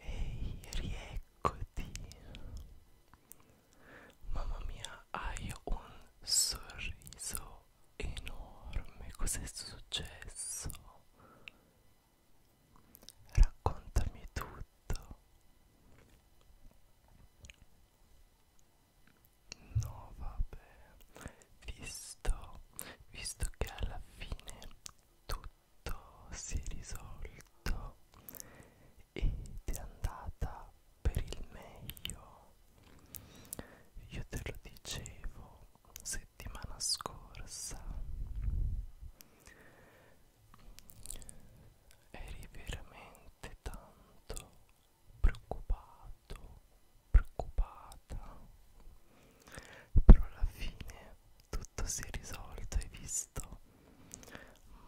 Ehi, rieccoti. Mamma mia, hai un sorriso enorme. Cos'è successo? Raccontami tutto. No vabbè, visto, visto che alla fine tutto si è risolto ed è andata per il meglio, io te lo dicevo settimana scorsa, eri veramente tanto preoccupato, preoccupata. Però alla fine tutto si è risolto, hai visto?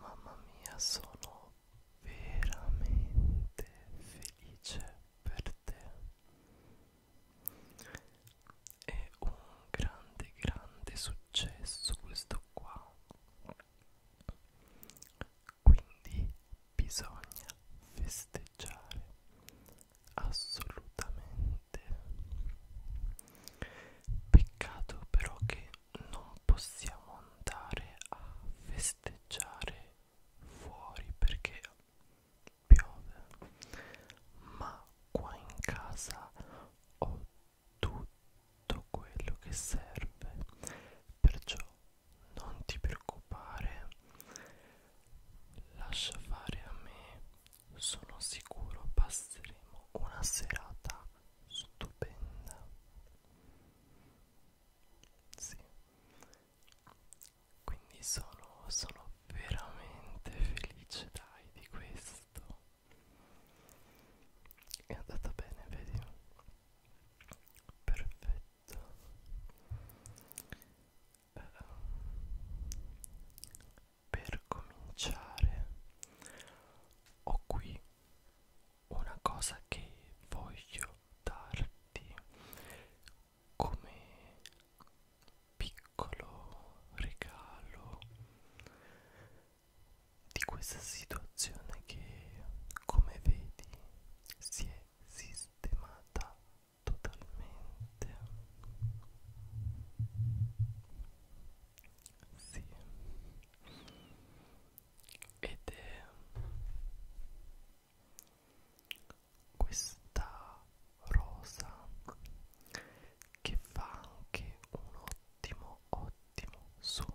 Mamma mia, sono veramente felice per te. È un grande, grande successo questo qua. Quindi bisogna festeggiare assolutamente. Peccato però che non possiamo andare a festeggiare fuori perché piove, ma qua in casa ho tutto quello che serve, perciò non ti preoccupare lascia fare a me sono sicuro passeremo una serata stupenda sì quindi sono, sono veramente felice dai di questo è andata bene vedi perfetto uh, per cominciare ho qui una cosa che voglio darti come piccolo regalo di questa situazione che come vedi si è sistemata totalmente sì ed è questa rosa che fa anche un ottimo ottimo suono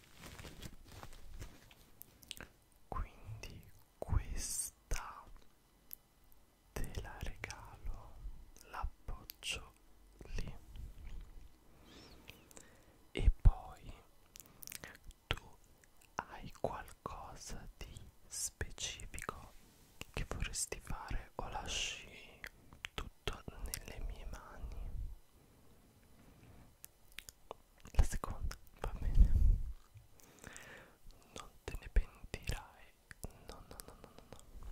quindi questa te la regalo l'appoggio lì e poi tu hai qualcosa di specifico che vorresti fare o lasci tutto nelle mie mani la seconda va bene non te ne pentirai no no no no no no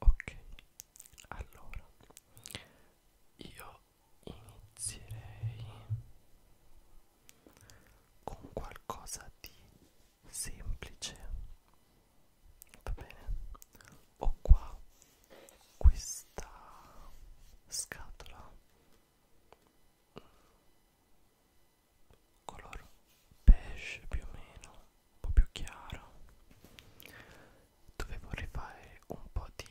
ok allora io inizierei con qualcosa di semplice va bene ho qua questa scatola color beige più o meno un po' più chiaro dove vorrei fare un po' di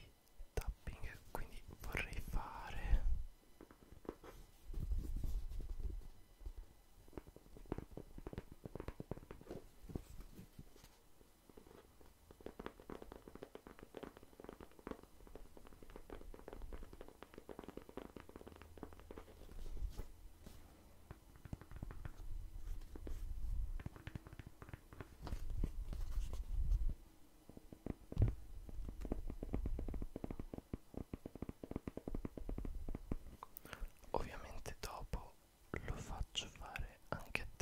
tapping quindi vorrei fare Ovviamente dopo lo faccio fare anche a te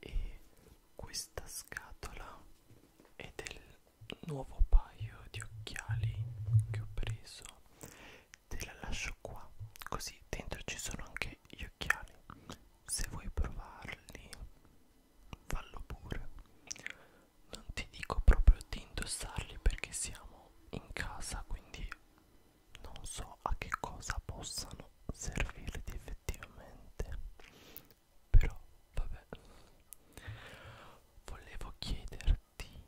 e questa scatola è del nuovo paio di occhiali che ho preso te la lascio qua così dentro ci sono anche gli occhiali se vuoi provarli fallo pure non ti dico proprio di indossarli perché siamo in casa quindi non so a che cosa possano servirti effettivamente però vabbè volevo chiederti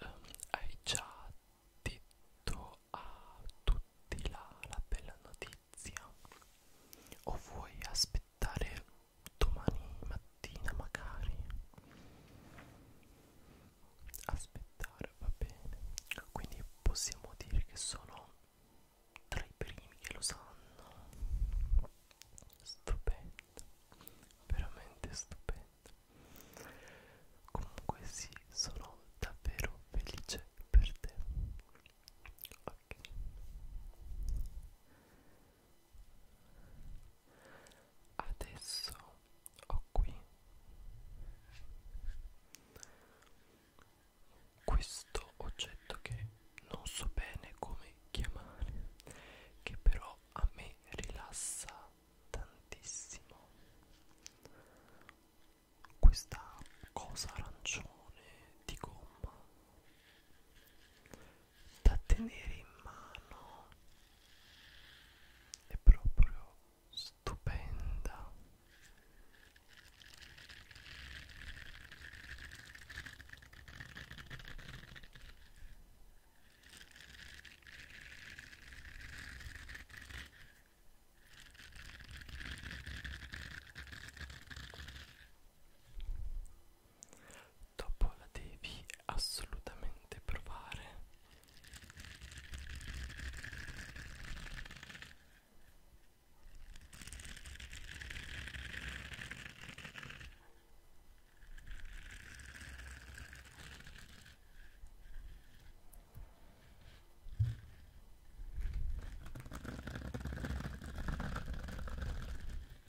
um, hai già detto a tutti la, la bella notizia o vuoi aspettare domani mattina magari aspettare va bene quindi possiamo dire che sono tra i primi che lo sanno stupendo veramente stupendo comunque sì sono davvero felice per te ok Adesso ho qui questo oggetto che non so bene come chiamare, che però a me rilassa tantissimo. Questa cosa arancione di gomma da tenere in mano è proprio stupenda dopo la devi assolutamente provare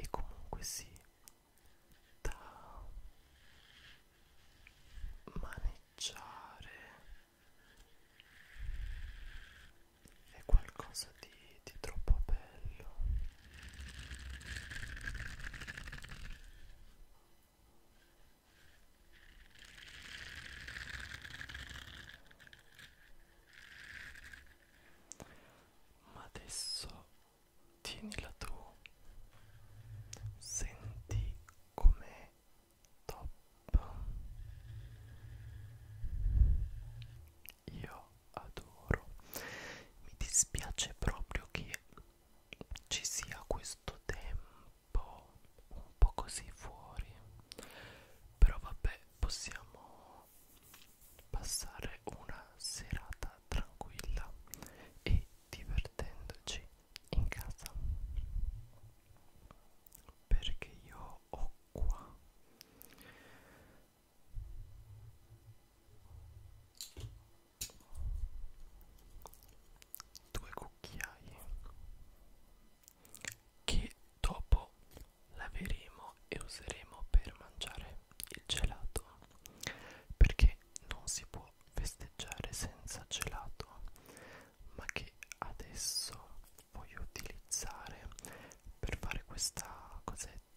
E comunque sì, da maneggiare è qualcosa qualcosa di, di troppo bello ma adesso tienila tu senti come top io adoro mi dispiace proprio che ci sia questo tempo un po' così fuori però vabbè possiamo passare una serata tranquilla e divertendoci in casa perché io ho qua due cucchiai che dopo laveremo e useremo per mangiare il gelato perché non si può festeggiare senza gelato ma che adesso voglio utilizzare per fare questa cosetta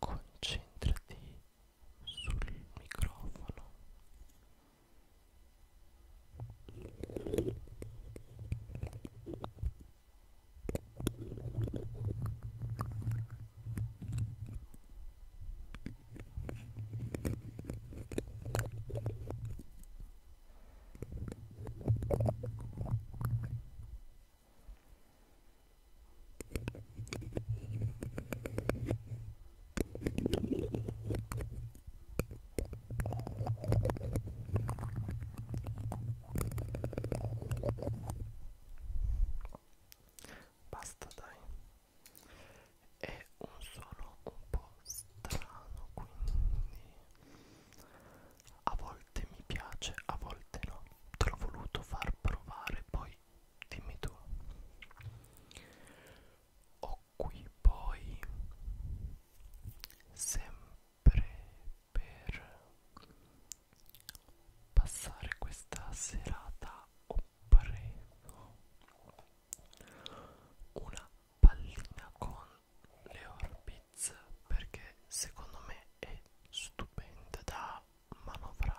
Concentrati sul microfono. Basta dai. È un suono un po' strano, quindi a volte mi piace, a volte no. Te l'ho voluto far provare, poi dimmi tu. Ho qui poi sempre per passare questa serata o prego una pallina con le orbite Blitz perché secondo me è stupenda da manovrare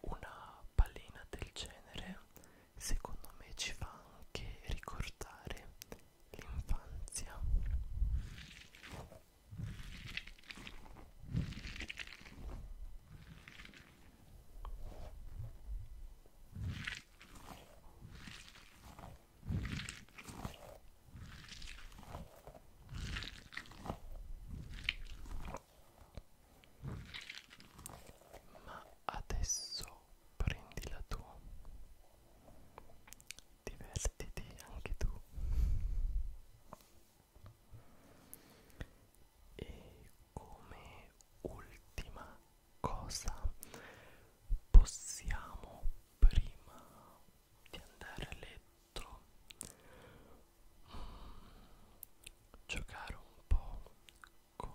Una pallina del genere secondo me ci fa anche ricordare l'infanzia. Ma adesso prendila tu. Divertiti anche tu. E come ultima cosa possiamo prima di andare a letto mm, giocare un po' con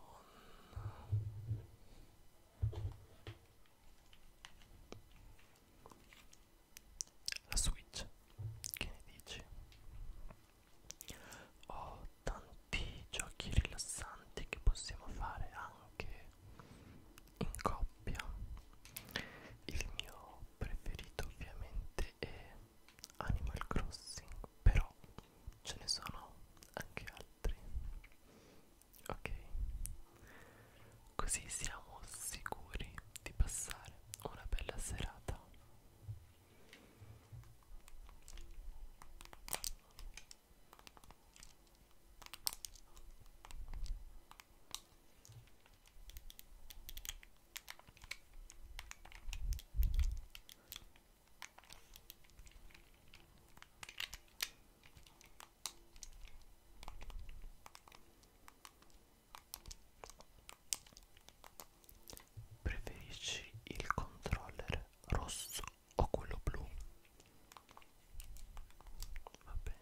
la switch che ne dici ho tanti giochi rilassanti che possiamo fare anche in coppia il mio preferito ovviamente è Animal Crossing però ce ne sono anche altri ok così siamo sicuri di passare una bella serata Preferisci il controller rosso o quello blu va bene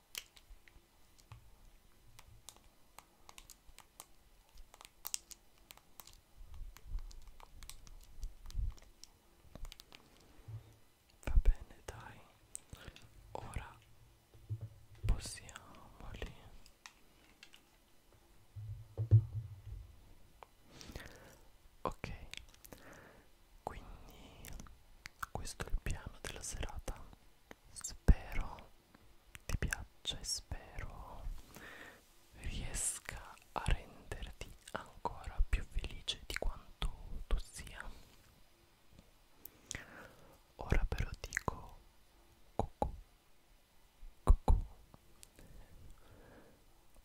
Va bene, dai. Ora possiamoli. Ok quindi questo è il piano della serata spero ti piaccia e spero riesca a renderti ancora più felice di quanto tu sia ora però dico cucù cucù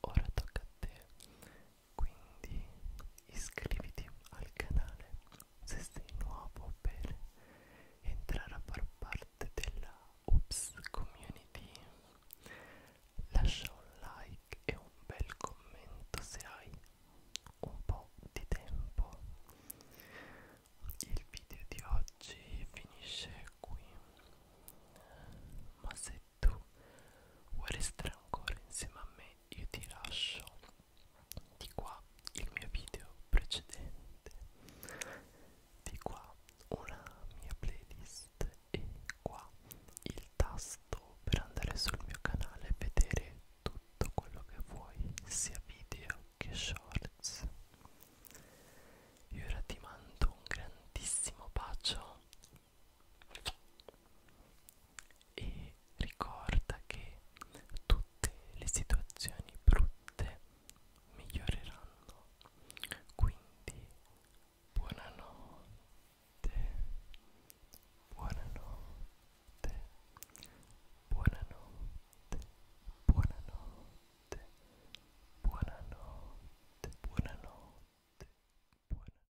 ora tocca a te quindi iscriviti al canale se sei nuovo per entrare a far parte della Oops Community lascia un like e un bel commento se hai un po' di tempo il video di oggi finisce qui ma se tu vuoi restare ancora insieme a me io ti lascio di qua il mio video precedente di qua una mia playlist e qua il tasto per andare sul mio canale e vedere tutto quello che vuoi sia video che shorts io ora ti mando un grandissimo bacio e ricorda che tutte le situazioni brutte miglioreranno quindi buonanotte buonanotte buonanotte buonanotte buonanotte buonanotte buonanotte